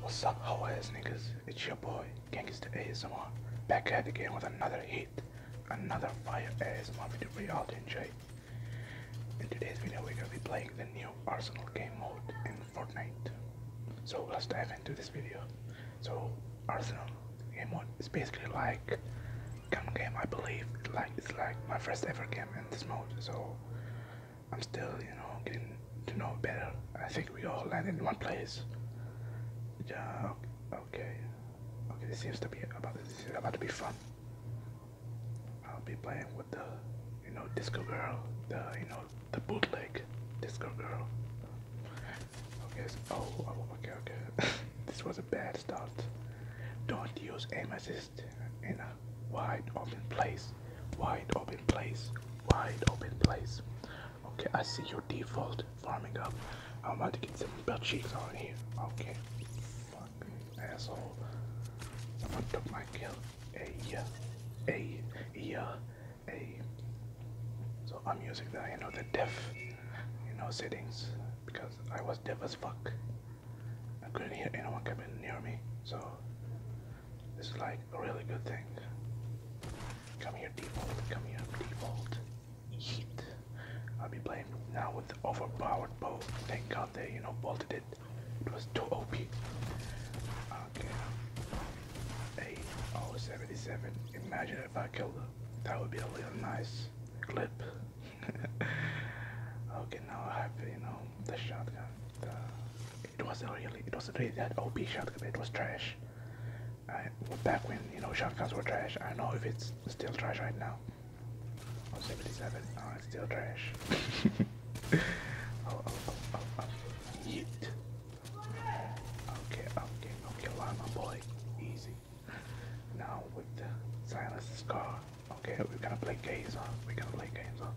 What's up, how is niggas? It's your boy, Gangsta ASMR, back at it again with another hit, another fire ASMR video for y'all to enjoy. In today's video, we're gonna be playing the new Arsenal game mode in Fortnite. So let's dive into this video. So Arsenal game mode is basically like gun game, I believe. Like it's like my first ever game in this mode, so I'm still, you know, getting to know better. I think we all landed in one place. Yeah. Okay. Okay. This seems to be about. This is about to be fun. I'll be playing with the, you know, disco girl. The, you know, the bootleg disco girl. Okay. Oh, oh. Okay. Okay. this was a bad start. Don't use aim assist in a wide open place wide open place, wide open place. Okay, I see your default farming up. I'm about to get some belt cheeks on here. Okay, fucking asshole. Someone took my kill. Hey, yeah, hey, yeah, hey. So I'm using the you know the deaf you know settings because I was deaf as fuck. I couldn't hear anyone coming near me. So this is like a really good thing. Come here, default. Come here, default. Yeet. I'll be playing now with the overpowered bow. Thank God they, you know, bolted it. It was too OP. Okay. Hey, oh, Imagine if I killed her. That would be a little nice clip. okay, now I have, you know, the shotgun, it wasn't really it wasn't really that OP shotgun. It was trash. back when you know shotguns were trash. I don't know if it's still trash right now. Oh, 77. Oh, it's still trash. oh, oh, oh, oh, oh Okay, okay, okay, my boy. Easy. Now with the silence scar. Okay, we're gonna play games on. We're gonna play games on.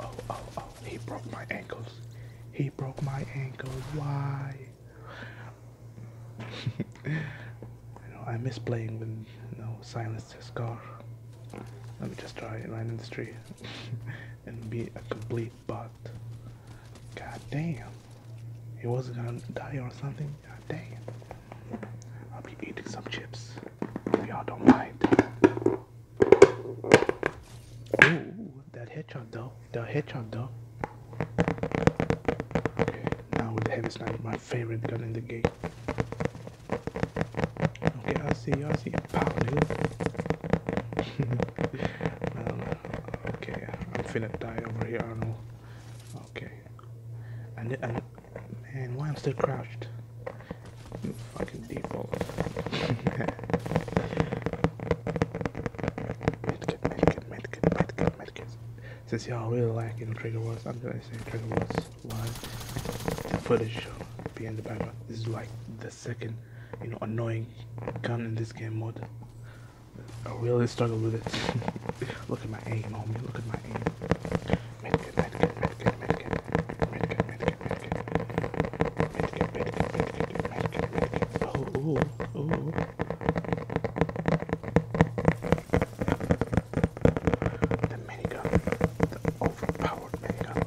Oh, oh, oh, he broke my ankles. He broke my ankles. Why? you know, I miss playing with you know, silenced scar. Let me just try line in the street and be a complete bot. God damn. He wasn't gonna die or something? God damn. I'll be eating some chips if y'all don't mind. Ooh, that headshot though. That headshot though. now with the heavy sniper, my favorite gun in the game. Okay, I see, I see. Pow, dude. Um, okay, I'm finna die over here, Arnold. Okay. And, and man, why I'm still crouched? Fucking default. medkit, medkit, medkit, medkit, medkit. Since y'all really like you know, trigger words, I'm gonna say trigger words live. The footage be in the background. This is like the second, you know, annoying gun in this game mode. I really struggle with it. look at my aim, homie. Look at my aim. Medkit, medkit, medkit, medkit, medkit, medkit. Oh, oh, oh. The minigun, the overpowered minigun.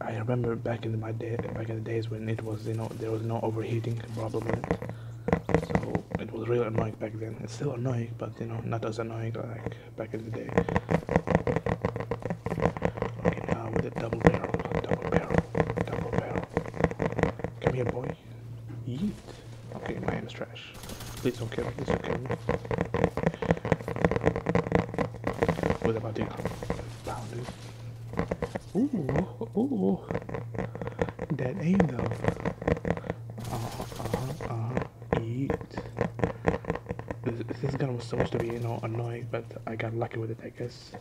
I remember back in my day, back in the days when it was, you know, there was no overheating problem with it. So it was really annoying back then. It's still annoying, but you know, not as annoying like back in the day. Okay, now with a double barrel, double barrel, double barrel. Come here, boy. Yeet. Okay, my aim is trash. Please don't kill me. Please don't kill me. What about the pound, dude? Ooh, ooh. That aim, though. Uh-huh, uh-huh, Yeet. This, gun was supposed to be, you know, annoying, but I got lucky with it, I guess.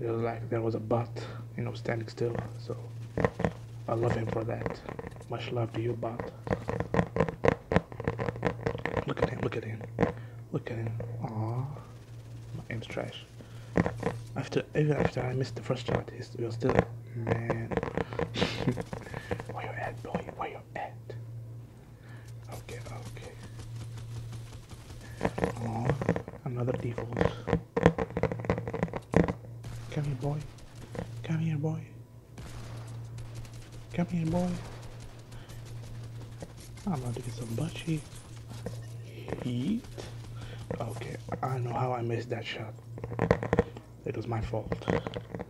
There was like there was a bot, you know, standing still. So I love him for that. Much love to you, bot. Look at him! Look at him! Look at him! Oh, my aim's trash. After even after I missed the first shot, he's, he was still man. where you at, boy? Where you at? Okay, Oh, another default. Come here, boy. Come here, boy. Come here, boy. I'm about to get some bushy. Eat. Okay, I know how I missed that shot. It was my fault.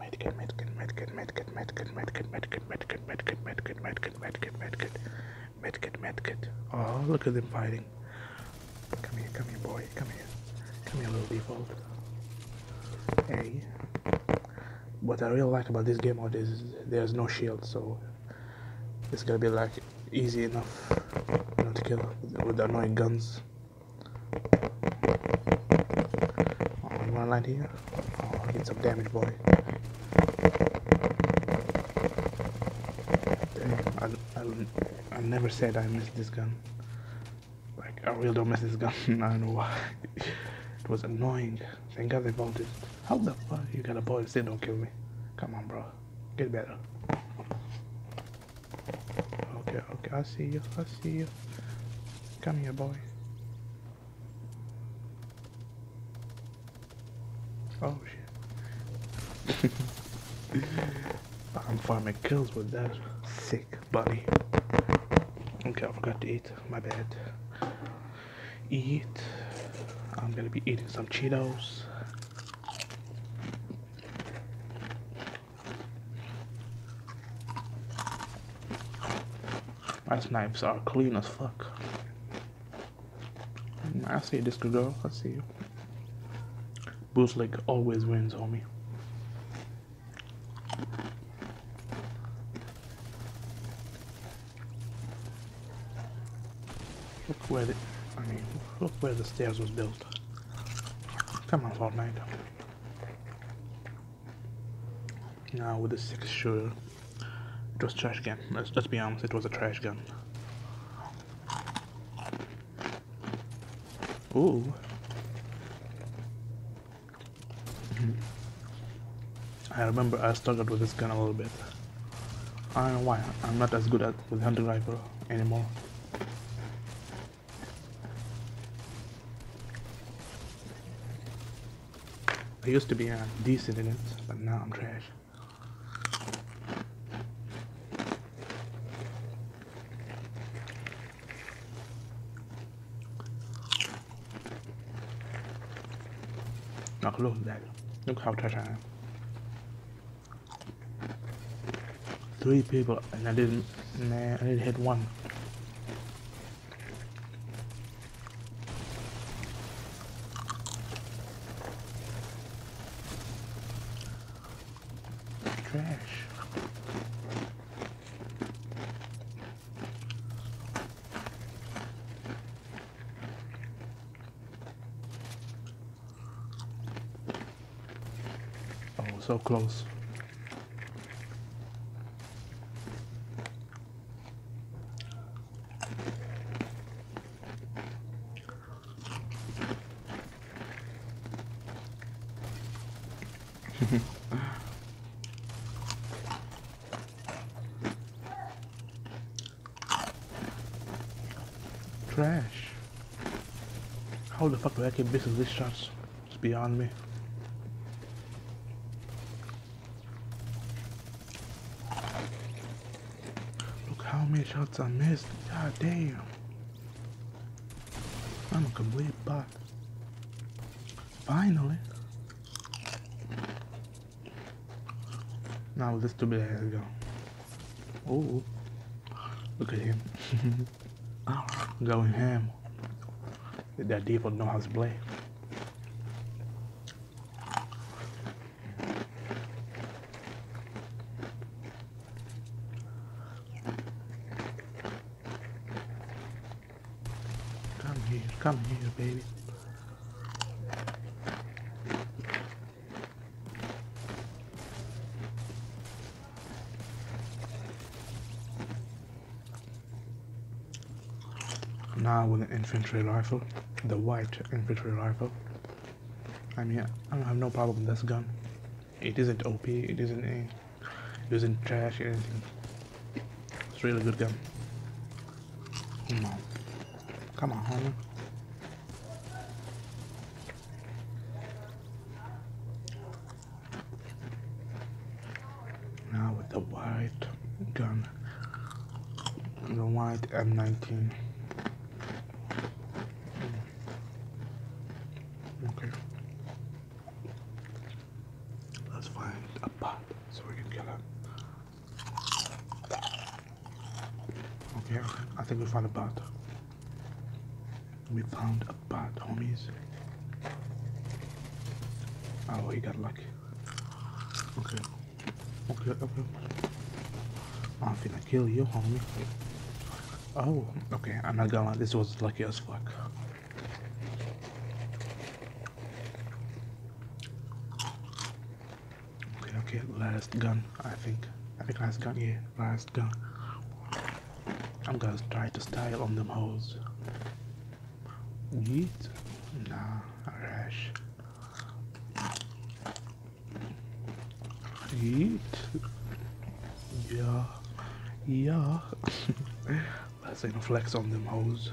Medkit, medkit, medkit, medkit, medkit, medkit, medkit, medkit, medkit, medkit, medkit, medkit medkit, medkit, medkit, medkit, medkit. Oh, look at them fighting. Come here, come here, boy, come here. Come here, little default. Hey. What I really like about this game mode is there's no shield, so it's gonna be like easy enough to kill with annoying guns. Oh, you here? Oh, I'll get some damage, boy. I, I, I never said I missed this gun. Like, I really don't miss this gun. I know why. it was annoying. Thank God they it. How the fuck you got a boy and Say don't kill me? Come on, bro. Get better. Okay, okay, I see you. I see you. Come here, boy. Oh shit. I'm farming kills with that. Sick buddy. Okay, I forgot to eat. My bad. Eat. I'm gonna be eating some Cheetos. Rice knives are clean as fuck. I see this girl. I see you. like always wins, homie. Look where the, I mean, look where the stairs was built. Come on, Fortnite. Now with the six shooter. It was trash gun. Let's, let's be honest, it was a trash gun. Ooh. Mm-hmm. I remember I struggled with this gun a little bit. I don't know why, I'm not as good at with hunting rifle anymore. I used to be a uh, decent in but now I'm trash. look at that. Look how trash I am. Three people and I didn't, nah, I didn't hit one. Trash. Oh, so close. Trash. How the fuck do I keep missing these shots? It's beyond me. Look how many shots I missed. God damn. I'm a complete bot. Finally. Now this stupid ass go. Oh, look at him. Ah, Going ham. That devil knows how to play. Come here, come here, baby. Now with the infantry rifle, the white infantry rifle. I mean, I don't have no problem with this gun. It isn't OP, it isn't it isn't trash or anything. It's really good gun. Come on, come on, homie. Now with the white gun the white M19 okay let's find a pot so we can kill it okay I think we found a pot we found a pot homies oh he got lucky okay Okay, okay. I'm gonna kill you, homie. Oh, okay, I'm not gonna this was lucky as fuck. Okay, okay, last gun, I think. I think last gun, yeah, last gun. I'm gonna try to style on them hoes. Yeet? Nah, rash. Eat. Yeah. Yeah. Let's ain't flex on them hoes.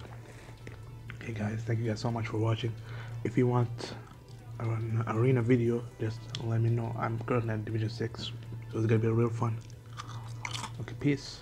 Okay, guys, thank you guys so much for watching. If you want an arena video, just let me know. I'm currently at Division 6, so it's gonna be real fun. Okay, peace.